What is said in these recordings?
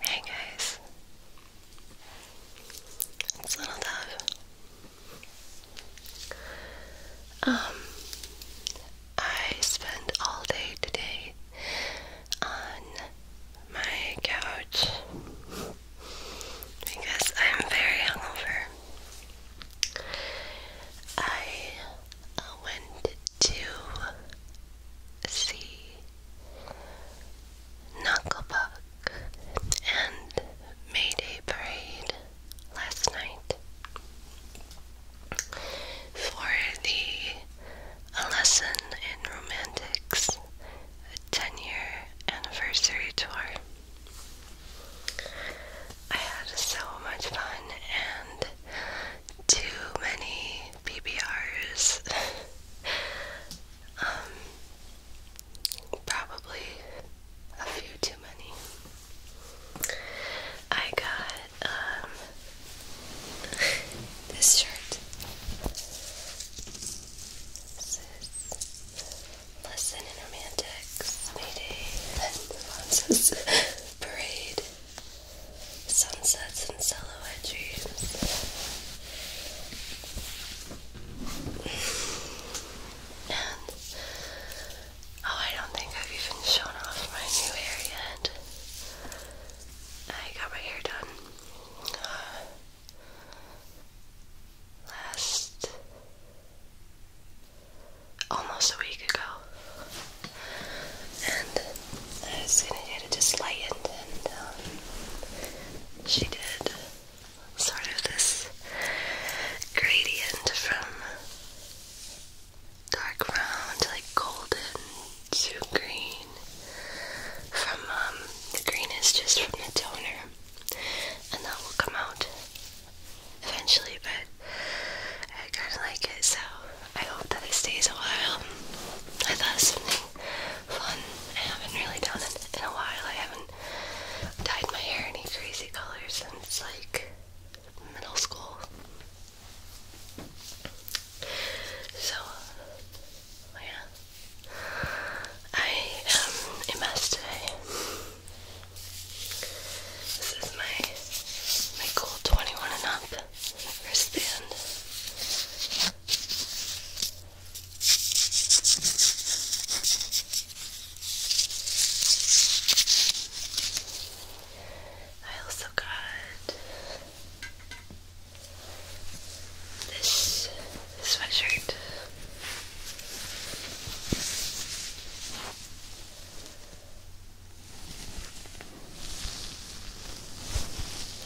Hey guys, it's Little Dove. Um, I spent all day today on my couch because I'm very hungover. I went to see Knucklebuck and Mayday Parade last night for the a Lesson in Romantics, a 10 year anniversary tour. I had so much fun and too many PBRs. um, probably a few too many. I got um, this shirt says Lesson in Romantics, Mayday, and Alonzo's Parade, Sunsets and Silhouette Dreams. And Oh, I don't think I've even shown off my new hair yet. I got my hair done last almost a week ago, and I was gonna get just lightened, and um, she did sort of this gradient from dark brown to like golden to green from um the green is just from the toner and that will come out eventually but I kinda like it so I hope that it stays a while. I thought something fun. I haven't really done it in a while. I haven't dyed my hair any crazy colors since like middle school. So, yeah, I am a mess today. This is my my cool twenty one and up wristband. I also got this sweatshirt.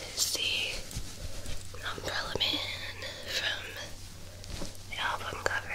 This is the Umbrella Man from the album cover.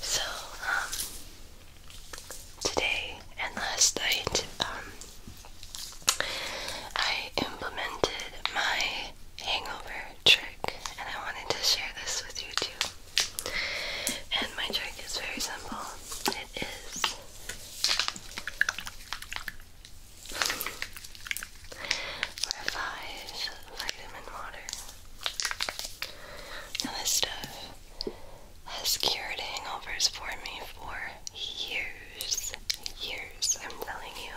So, um, today and last night, um, I implemented my hangover trick, and I wanted to share this with you too. And my trick is very simple. It is Lavage vitamin water. Now, this stuff has cured hangovers for me for years. Years, I'm telling you.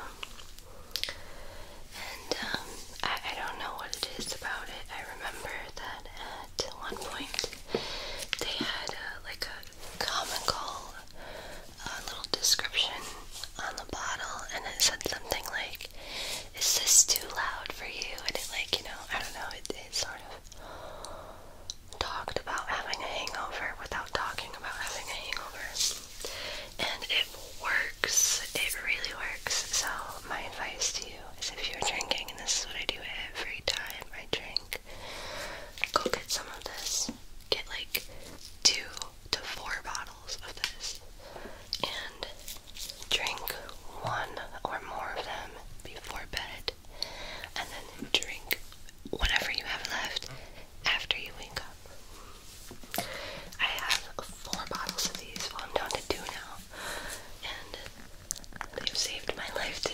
And um, I, don't know what it is about it. I remember that at one point they had uh, like a comical uh, little description on the bottle, and it said something like, like, is this too loud for you? And it like, you know, I don't know, it, it sort of talked about having a hangover without talking about having a hangover. And it works. It really works. So my advice to you is if you're drinking, and this is what I do every time I drink, go get some of this. Get like two to four bottles of this and drink one or more of them before bed, and then drink whatever you have left after you wake up. I have four bottles of these, well, I'm down to two now, and they've saved my life today.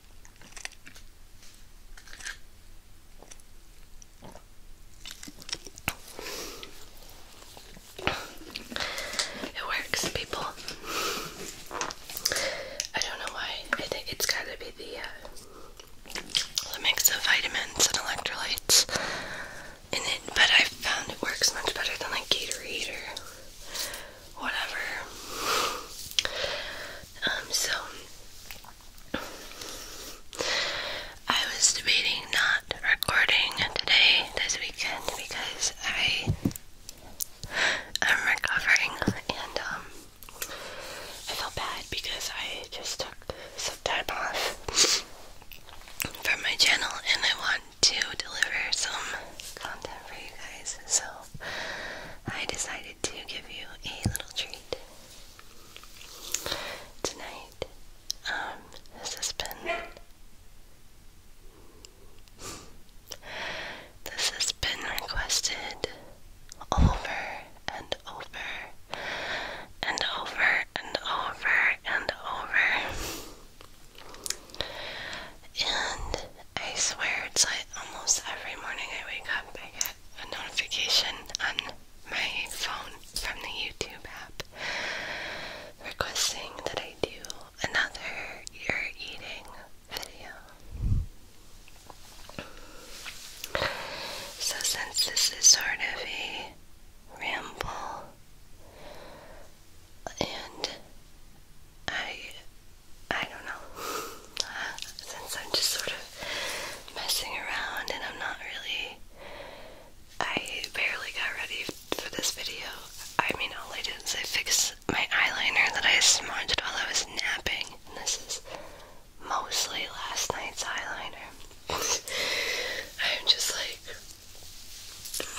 It works, people. I don't know why. I think it's gotta be the, uh, mix of vitamins and electrolytes in it, but I've found it works much better than like Gatorade or whatever. Um, so I was debating not recording today, this weekend, because I am recovering and um, I felt bad because I just took some time off from my channel and I want to deliver some content for you guys. So I decided to give you a little treat tonight. Um, this has been. This has been requested over and over and over and over and over. And I swear it's like almost every morning I wake up, I get a notification on my phone from the YouTube app requesting that I do another ear eating video. So, since this is sort of a ramble, and I I don't know since I'm just sort of messing around and I'm not really I barely got ready for this video. I mean, all I did is I fixed my eyeliner that I smudged while I was napping. And this is mostly last night's eyeliner. I'm just like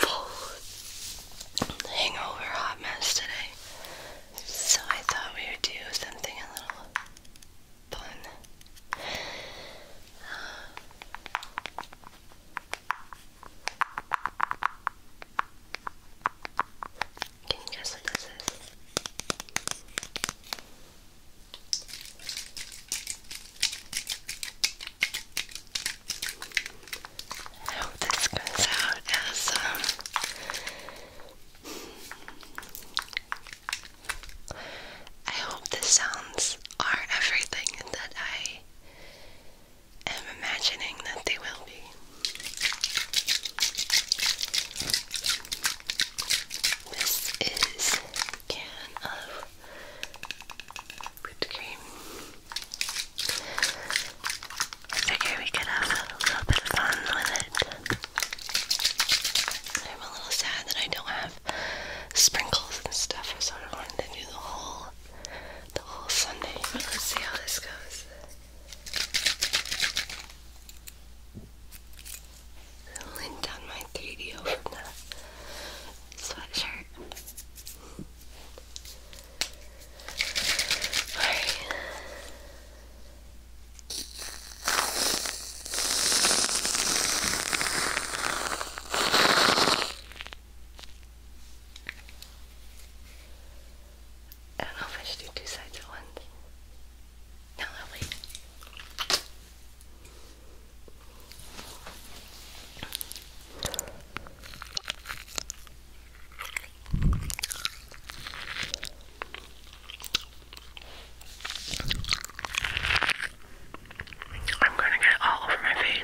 full hangover hot mess today. So I thought we would do something a little fun. Um, can you guess what this is? Um, I hope this comes out awesome. I hope the sounds are everything that I am imagining that they will be. This is a can of whipped cream. I figure we could have a little bit of fun with it. I'm a little sad that I don't have sprinkles and stuff. I wanted to do the whole, the whole Sunday, but let's see how this goes. i down my 3D over the sweatshirt. I don't know if I should do two sides at once. No, i I'm gonna get it all over my face.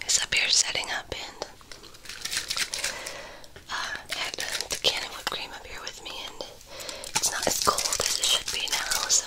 It's up here setting up and I uh, had the can whipped cream up here with me, and it's not as cold as it should be now, so.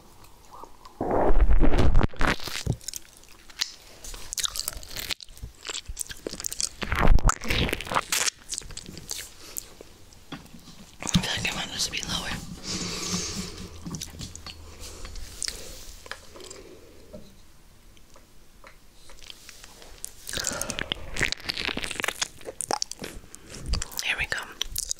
I feel like I want this to be lower. Here we go.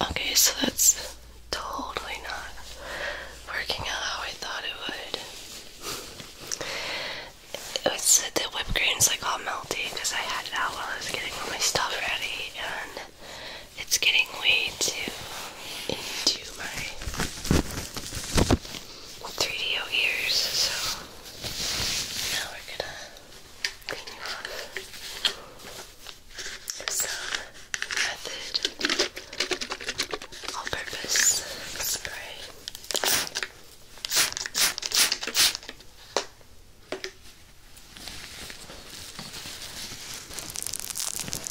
Okay, so that's totally not working out how I thought it would. It was said that whipped cream's like all melty because I had it out while I was getting all my stuff ready and it's getting way too into my 3DO ears, so now we're gonna clean it off with some All-Purpose Spray.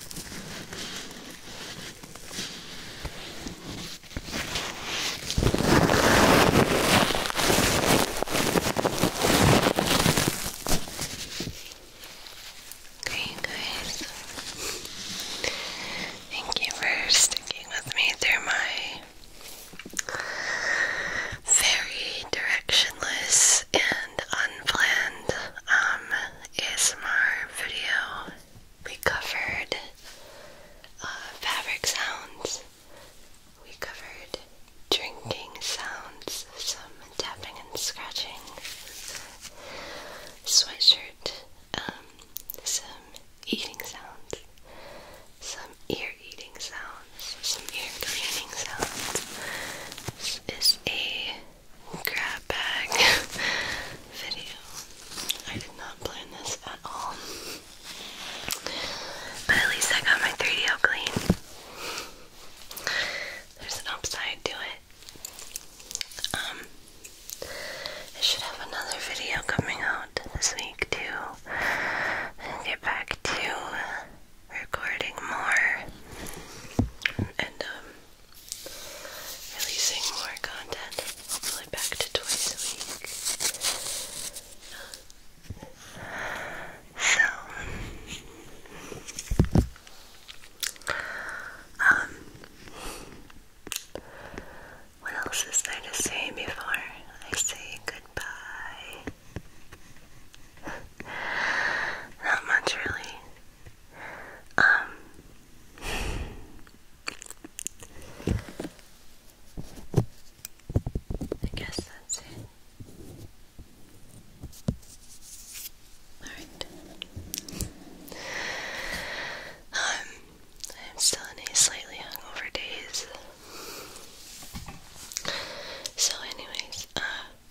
Okay, guys. Thank you for sticking with me through my very directionless and unplanned um, ASMR video. We covered uh, fabric sounds. We covered drinking sounds, some tapping and scratching, sweatshirt, um, some eating sounds, some ear eating sounds, some ear cleaning sounds. This is a grab bag video. I did not plan this at all. But at least I got my 3DO clean. There's an upside to it. Um, I should have another video coming out this week too. And get back to recording more. And um, releasing more content, hopefully back to twice a week. So, um, what else is there to say before I say goodbye? Not much, really. Um, I guess that's it. Alright. Um, I'm still in a slightly hungover daze. So anyways, uh,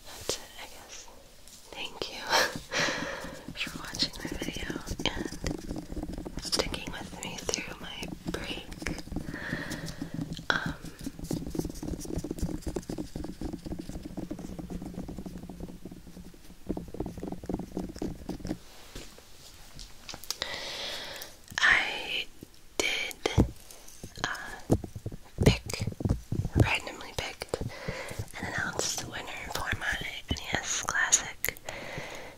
that's it, I guess. Thank you for watching my video and sticking with me through my break. Um, I did uh, pick, randomly pick and announce the winner for my yes, Classic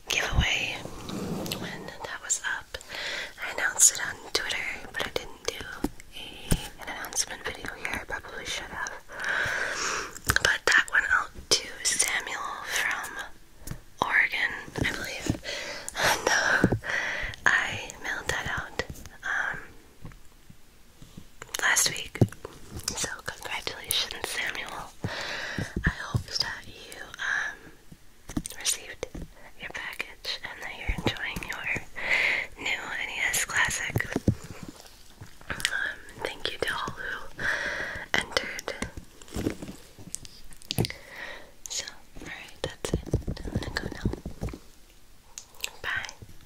giveaway. When that was up, I announced it on Twitter, but I didn't do a, an announcement video here. I probably should have. But that went out to Samuel from Oregon, I believe. And uh, I mailed that out. Um, last week. So congratulations, Samuel. I hope that you um, received your package and that you're enjoying your new NES Classic. Um, thank you to all who entered. So, alright, that's it. I'm gonna go now. Bye.